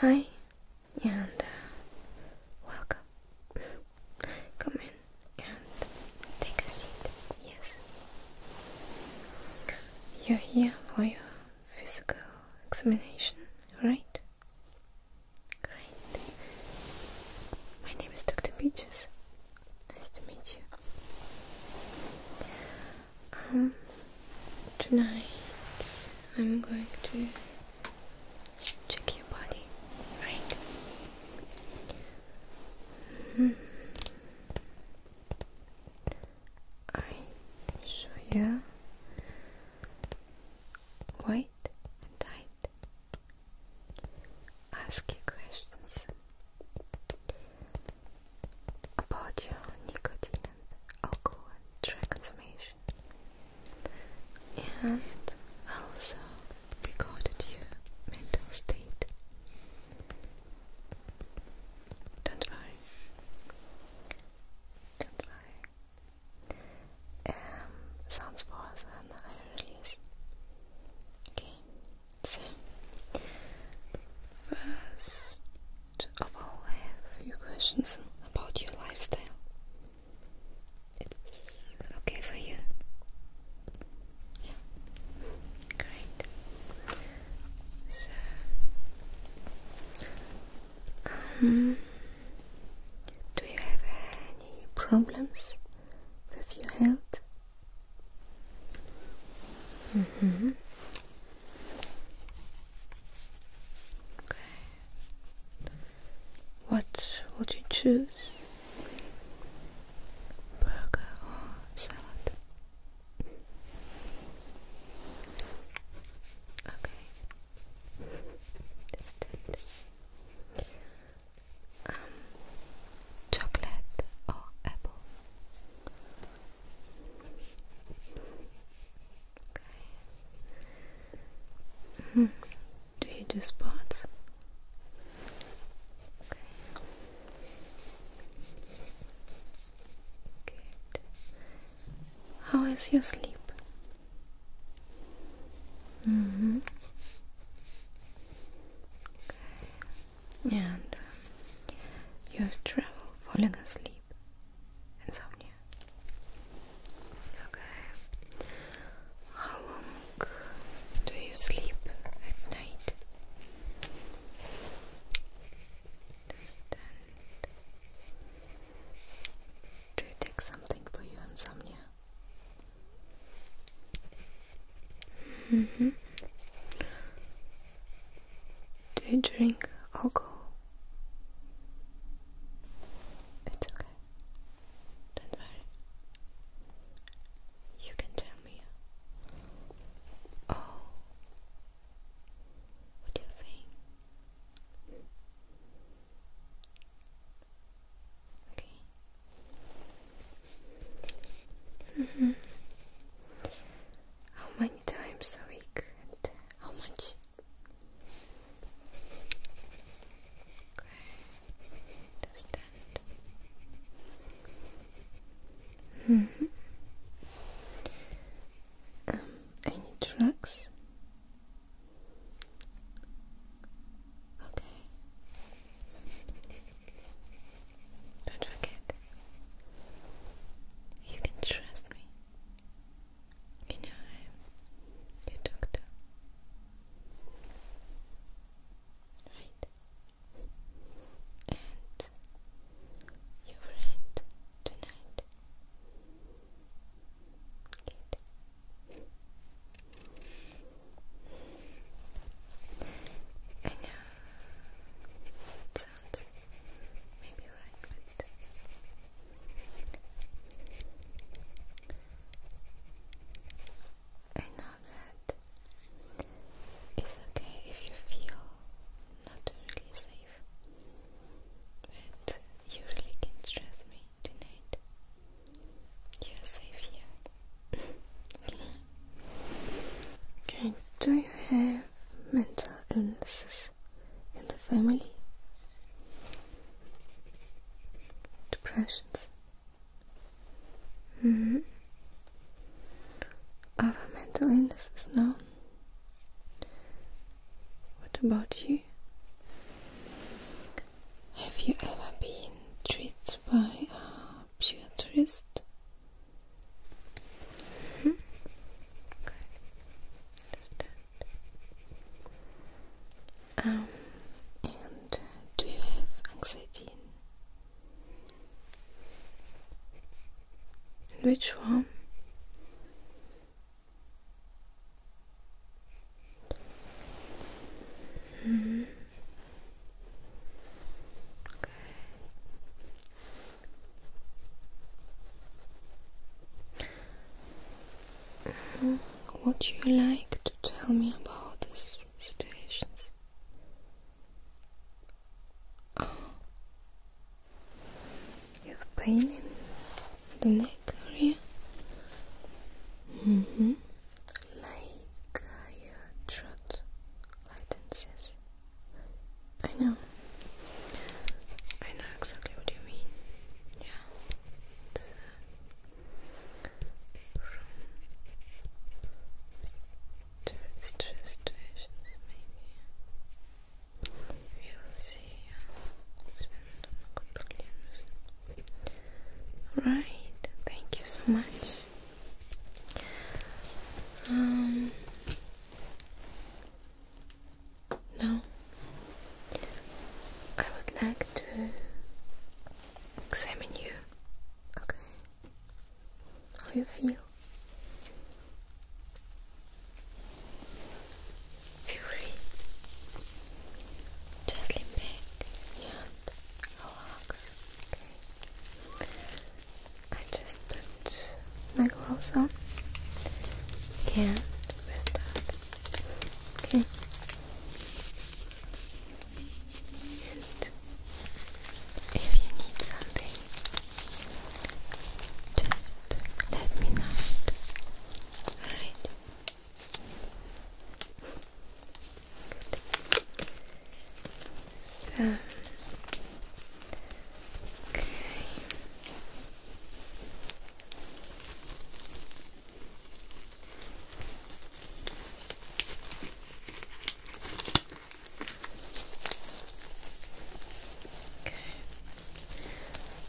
Hi, and uh, welcome. Come in and take a seat. Yes. You're here for your physical examination, right? Great. My name is Dr. Peaches. Nice to meet you. Um, tonight I'm going to check your body, right? Mm-hmm. I show you white and tight. Ask you questions about your nicotine and alcohol and drug consummation and also recorded your mental state. Don't worry. Um, sounds was I release. Okay. So, first of all, I have a few questions about your lifestyle. It's okay for you? Yeah. Great. So, um, do you have any problems with your health? Mm hmm Okay. What would you choose? Burger or salad? Okay. Just Um chocolate or apple? Hmm. Do you do sports? How is your sleep? Mm-hmm and um, you have trouble falling asleep. Insomnia. Okay. How long do you sleep at night? Um, do you take something for your insomnia? Mm -hmm. Do you drink alcohol? It's okay. Don't worry. You can tell me all what you think. Okay. Mm-hmm. How many times a week and how much? Okay, understand. -hmm. any drugs? Okay. Don't forget you can trust me. You know I am your doctor. Right? And your friend tonight. Good. I know else right I know that it's okay if you feel not really safe, but you really can trust me tonight. You're safe here. Okay, do you have mental illnesses in the family? Depressions? Mm-hmm. Other mental illnesses? No. What about you? Have you ever been treated by a psychiatrist? -hmm. Okay. Understand. Um, and do you have anxiety? which one? -hmm. Okay. Would you like to tell me about these situations? Ah. You have pain in the neck area? Mm-hmm. Like uh, your I know. I know exactly what you mean. Yeah. stress situations, maybe. We'll see. Right. Thank you so much. Um, now, I would like to examine you, okay? How you feel? Feel free. Just lean and relax, okay? I just put my gloves on and Okay. if you need something, just let me know Alright okay.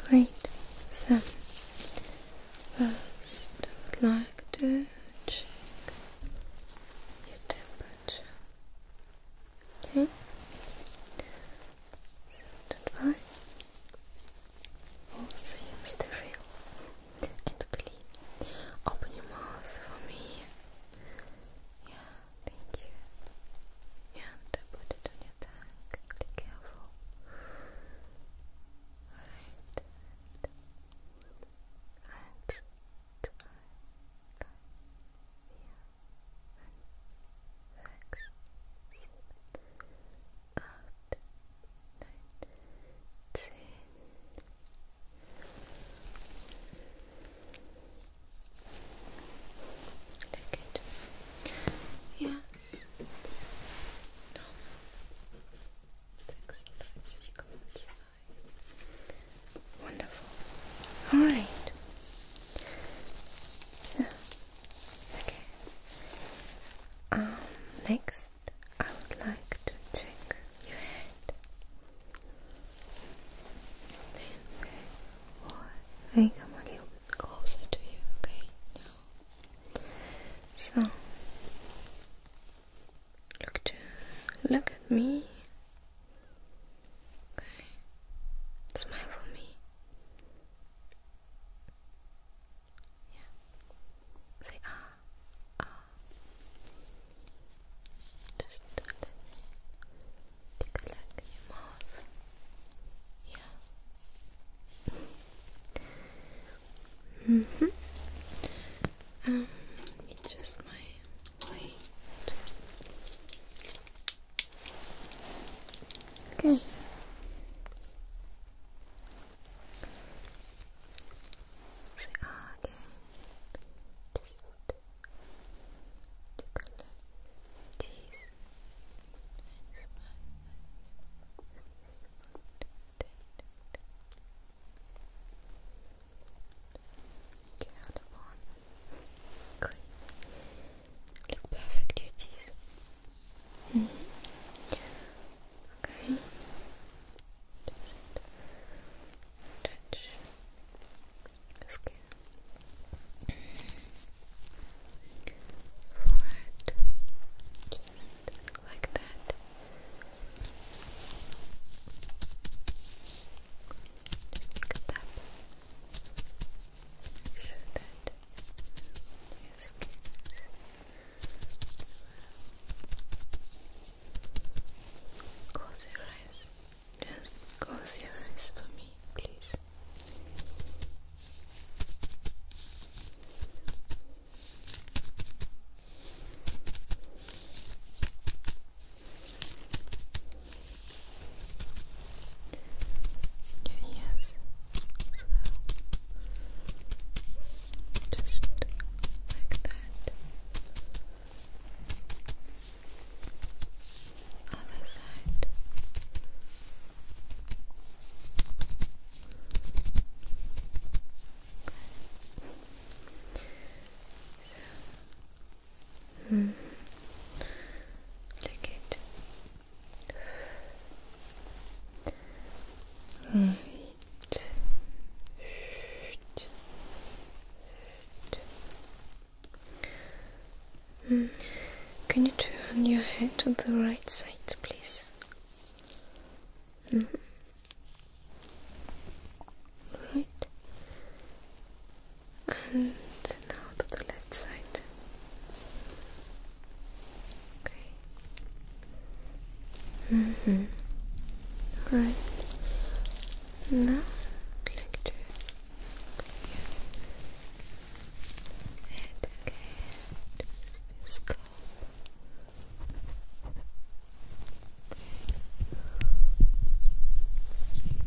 Great. So first I would like to check your temperature. Okay. So Also use the real and clean. Open your mouth for me. Yeah, thank you. And put it on your tongue. Be careful. Alright. Alright. Right. Yeah six, seven, eight, nine, ten. Take Yes, normal. 36,2 Wonderful. Alright. So, okay. Um, next, I would like to check your head. Then, I come a little bit closer to you, okay? So, look, to, look at me. Okay. Smile for me. Yeah. Say ah. Ah. Just let me take a look in your mouth. Yeah. hmm Um, just my Wait. Okay. Say again. Just to collect these. Okay cardamom, green. Look perfect, your Okay. Just touch your skin. Forehead. Just like that. Just look Close your eyes. Just close your eyes for me, please your ears Just like that. Other side. Mm. it. Right. Can you turn your head to the right side, please? Mm-hmm. Right and now to the left side. Okay. Mm Now, click to head again. Just go.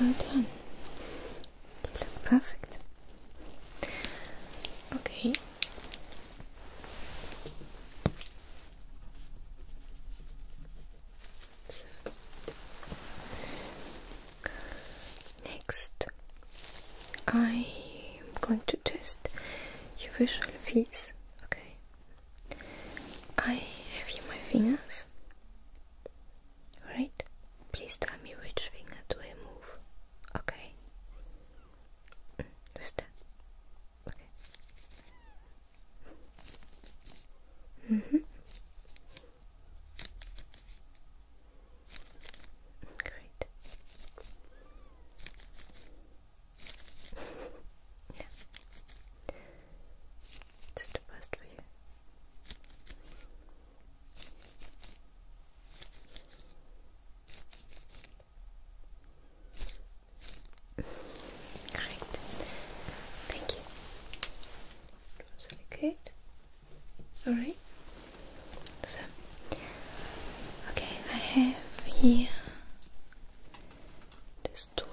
Well done. You look perfect. Okay. Next, I am going to test your visual fees. Okay, I have here my fingers. Right? Please tell me which finger do I move. Okay. Mm, who's that? Okay. Mm hmm Great. Yeah. It's the best for you. Great. Thank you. That Alright. So, okay, I have here just two.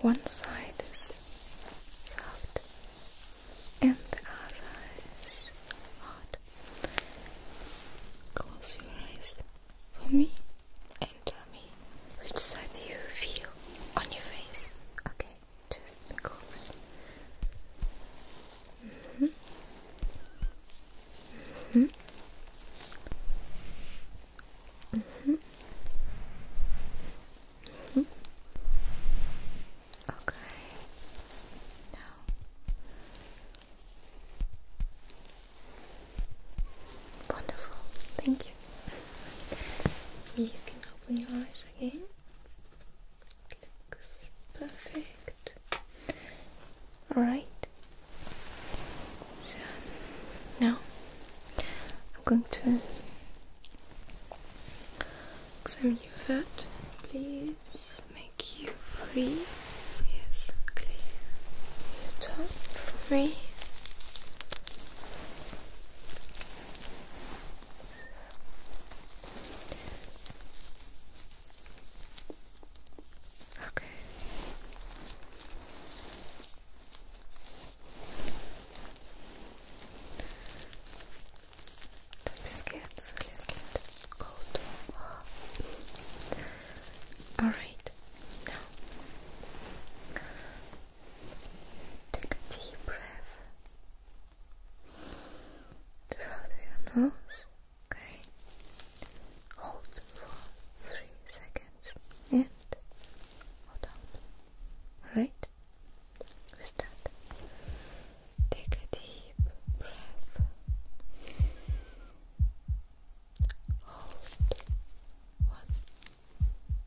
One side is soft and the other is hot. Close your eyes for me and tell me which side do you feel on your face. Okay, just close hmm. hmm. Okay. Now. Wonderful. Thank you. You can open your eyes again. perfect. All right. So now I'm going to examine your head. Please make you free. Yes, clear your top free. Okay. Don't be scared, a little bit cold. Alright, now take a deep breath through your nose. Okay. Hold for three seconds and hold on. Right? With that, take a deep breath. Hold one,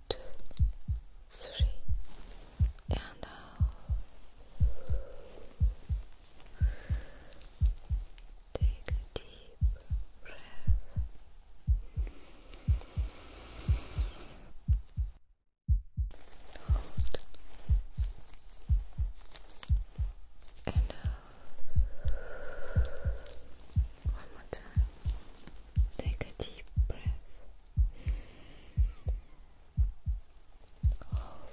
two, three, and out. Take a deep breath. Hold. And out. One more time. Take a deep breath. Hold.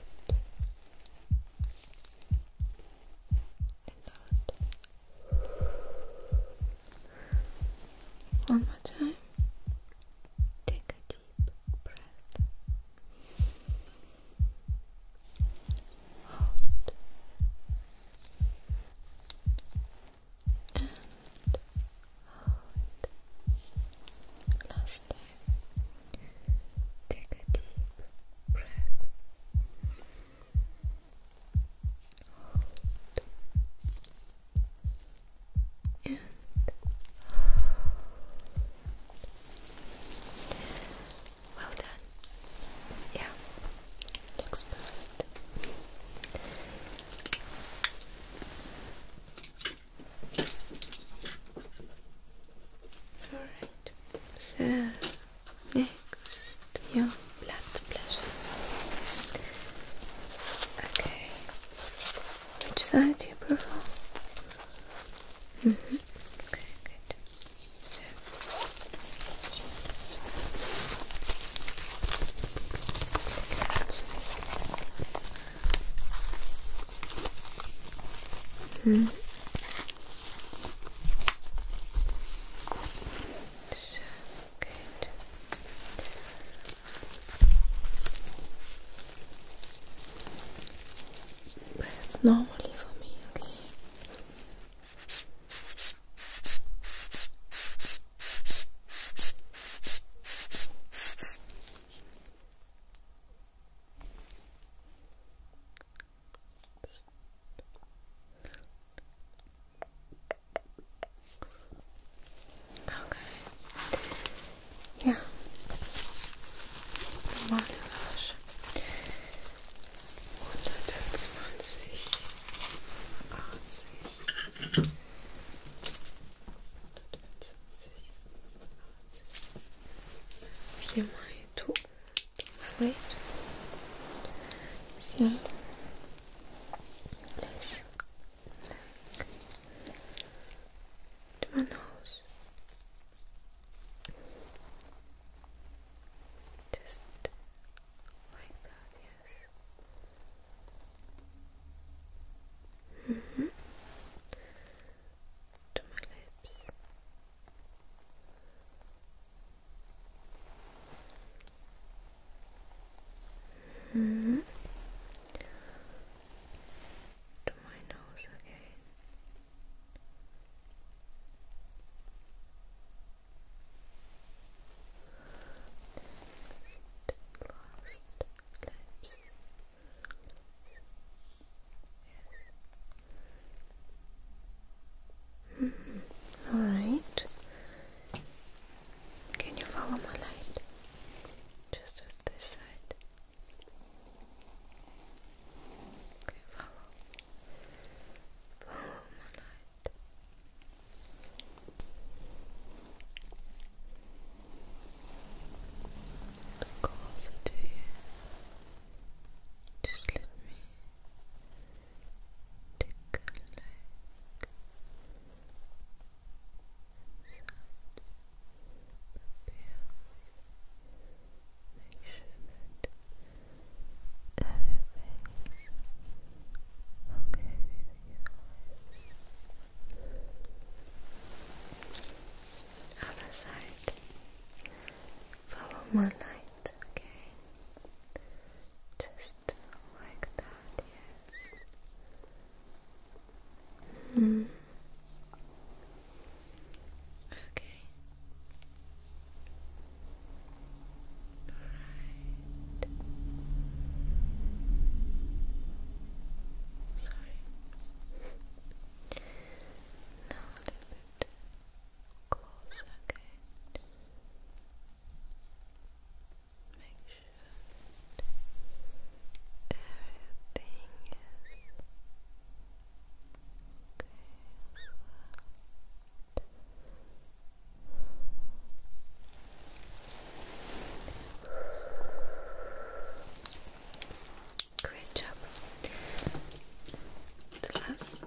One more time. Take a deep breath. Hold. And hold. Last time. Take a deep breath. Hold and Well done. Yeah, looks All right. So Next, your blood pressure. Okay. Which side do you prefer? -hmm. Okay, good. So. -hmm. So good. Breathe normally for me, okay? Okay. Yeah. Magenflasche. 125, 80, 125, 80 wait. So, let to my nose. Just like that, yes. Mm-hmm. To my lips. Mm -hmm. To my nose again. last lips. -hmm. All right. Can you follow my light? Just with this side. Okay, follow. Follow my light. Closer to you. Just let me Take a look inside the Make sure that everything's okay with your eyes. Other side. Follow my light again. Just like that, yes. Hmm. Okay. Alright. Sorry. now a little bit. Close. good. Make sure everything is okay as well. Great job. The last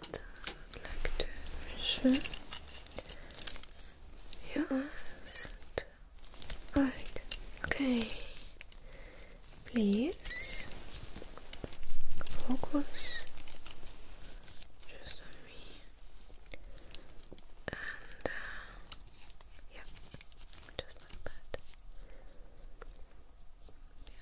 like to measure your eyes. okay. Please focus just on me. And yeah, just like that. Uh, yeah.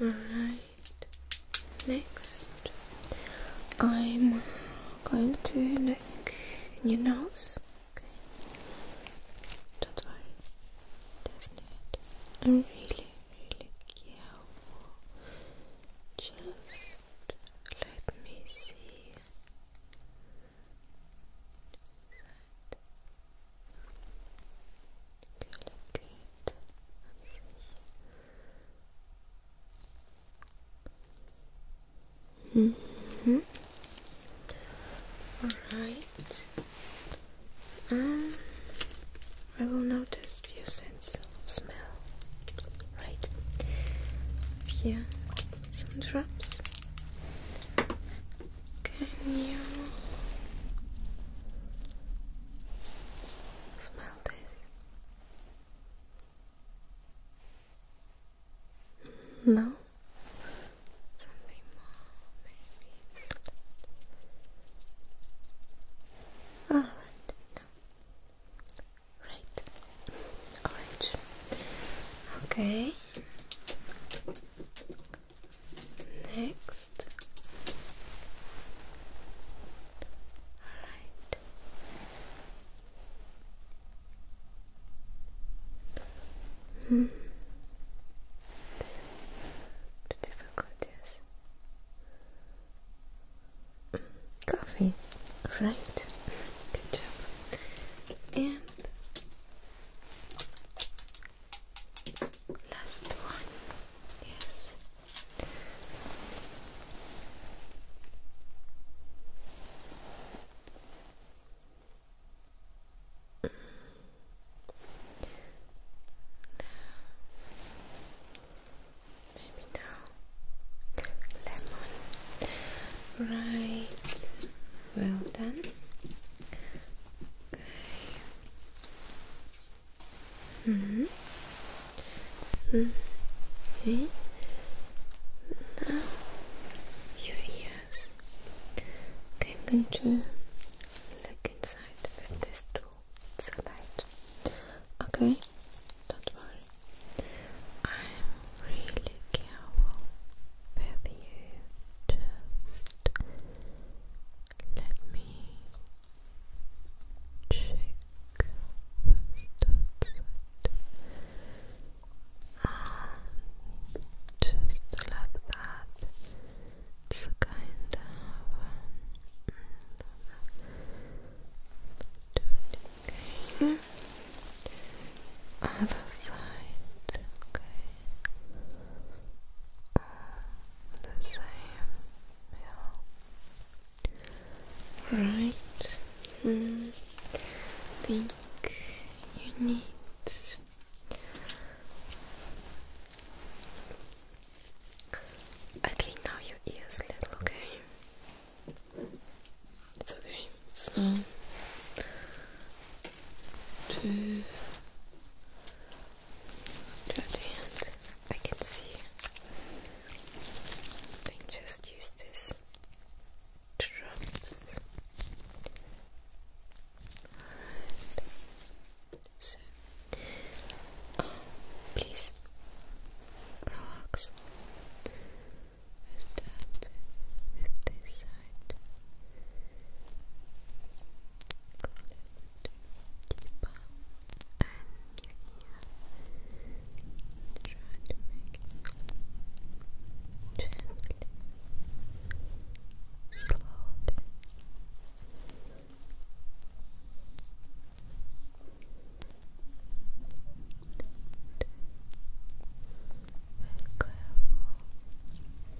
Alright, next I'm going to look in your nose. Okay. Don't that's not. really, really careful. Just let me see. Alright. Mm-hmm. Um, I will notice your sense of smell. Right. Here, some drops. Can you smell this? No? Something more, maybe Alright, ah, Right. Orange. Okay. Next. All right. Hmm. The difficulties. Coffee, right? Good job. And Last one, yes. Maybe now. Lemon. Right. Well done. Okay. Mm hmm. Mm okay. Now Okay, I'm going to look inside with this tool. It's a light. Okay, don't worry. I'm really careful with you. Let me check first And just like that, it's kind of um, okay. Other side, okay the same, yeah. Right. Hmm. Think you need Okay, now your ears little, okay? It's okay. It's um, two to I can see they just use this drums. So, um, please relax. We with this side deeper and Try to make it gently, slowly. Very careful.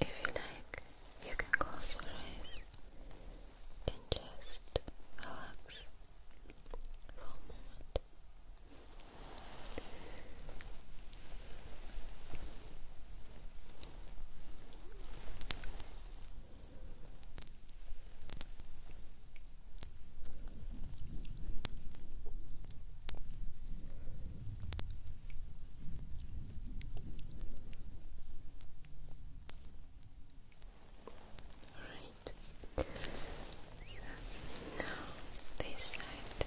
If you like, you can close your eyes and just relax for a moment. All right. So now this side.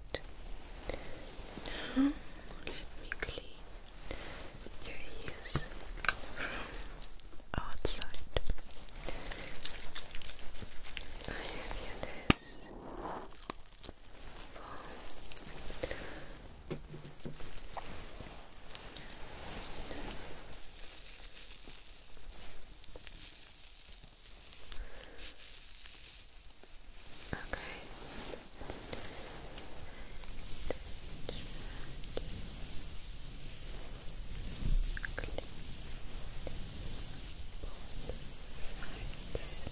right. Now let me clean your ears from outside. I have you this foam. Okay. Both sides. Just like that.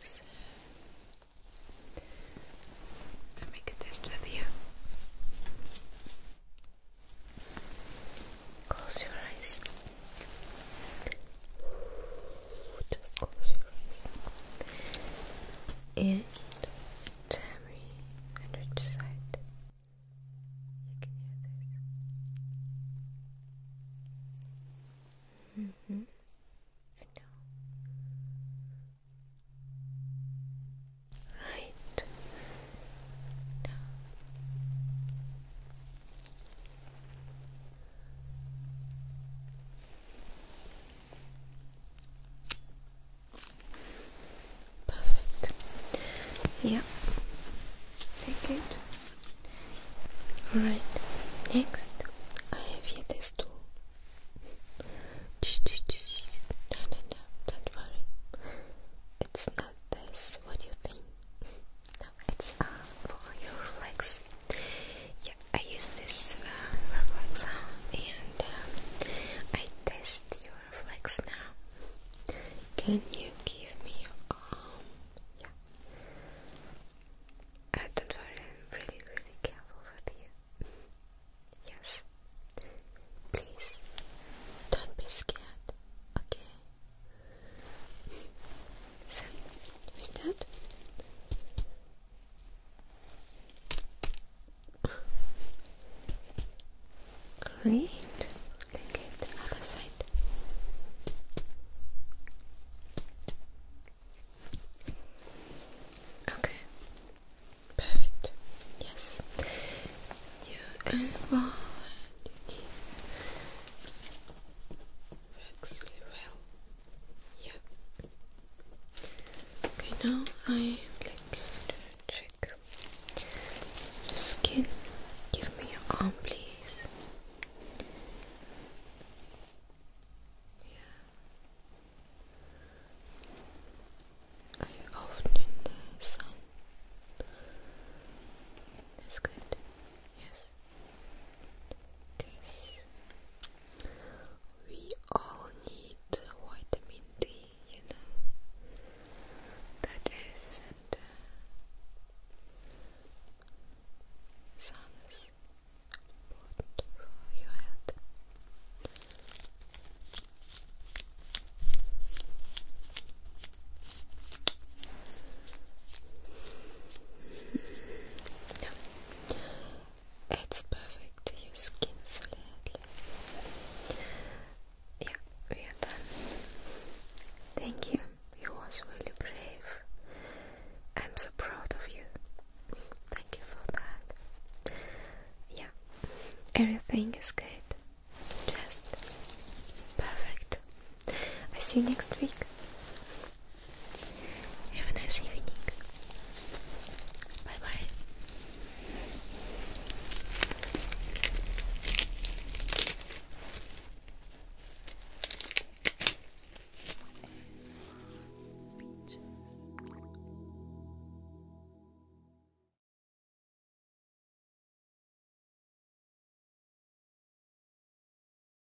So, i test with you. Close your eyes. Just close your eyes. And tell me on which you hmm I know. Right. No. Perfect. Yeah. Take it. Alright. Next, I have here this tool. No, no, no, don't worry. It's not this, what you think it's uh, for your reflex. Yeah, I use this uh, reflex and uh, I test your reflex now. Can you give me Yeah. Uh, don't worry, I'm really, really careful with you. yes. Please, don't be scared, okay? So, with that, great. Let's the other side. Okay, perfect. Yes, your and your knee works really yeah. Okay, now I like check your skin. Give me your arm, please. Yeah. Are you often in the sun? That's good. Yes because we all need vitamin D, you know. That is, and uh, uh sun important for your health. It's perfect. Your skin slightly. Yeah, we are done. Thank you. You was really brave. I'm so proud of you. Thank you for that. Yeah, everything is good. Just perfect. I see you next week. Have a nice evening. bye.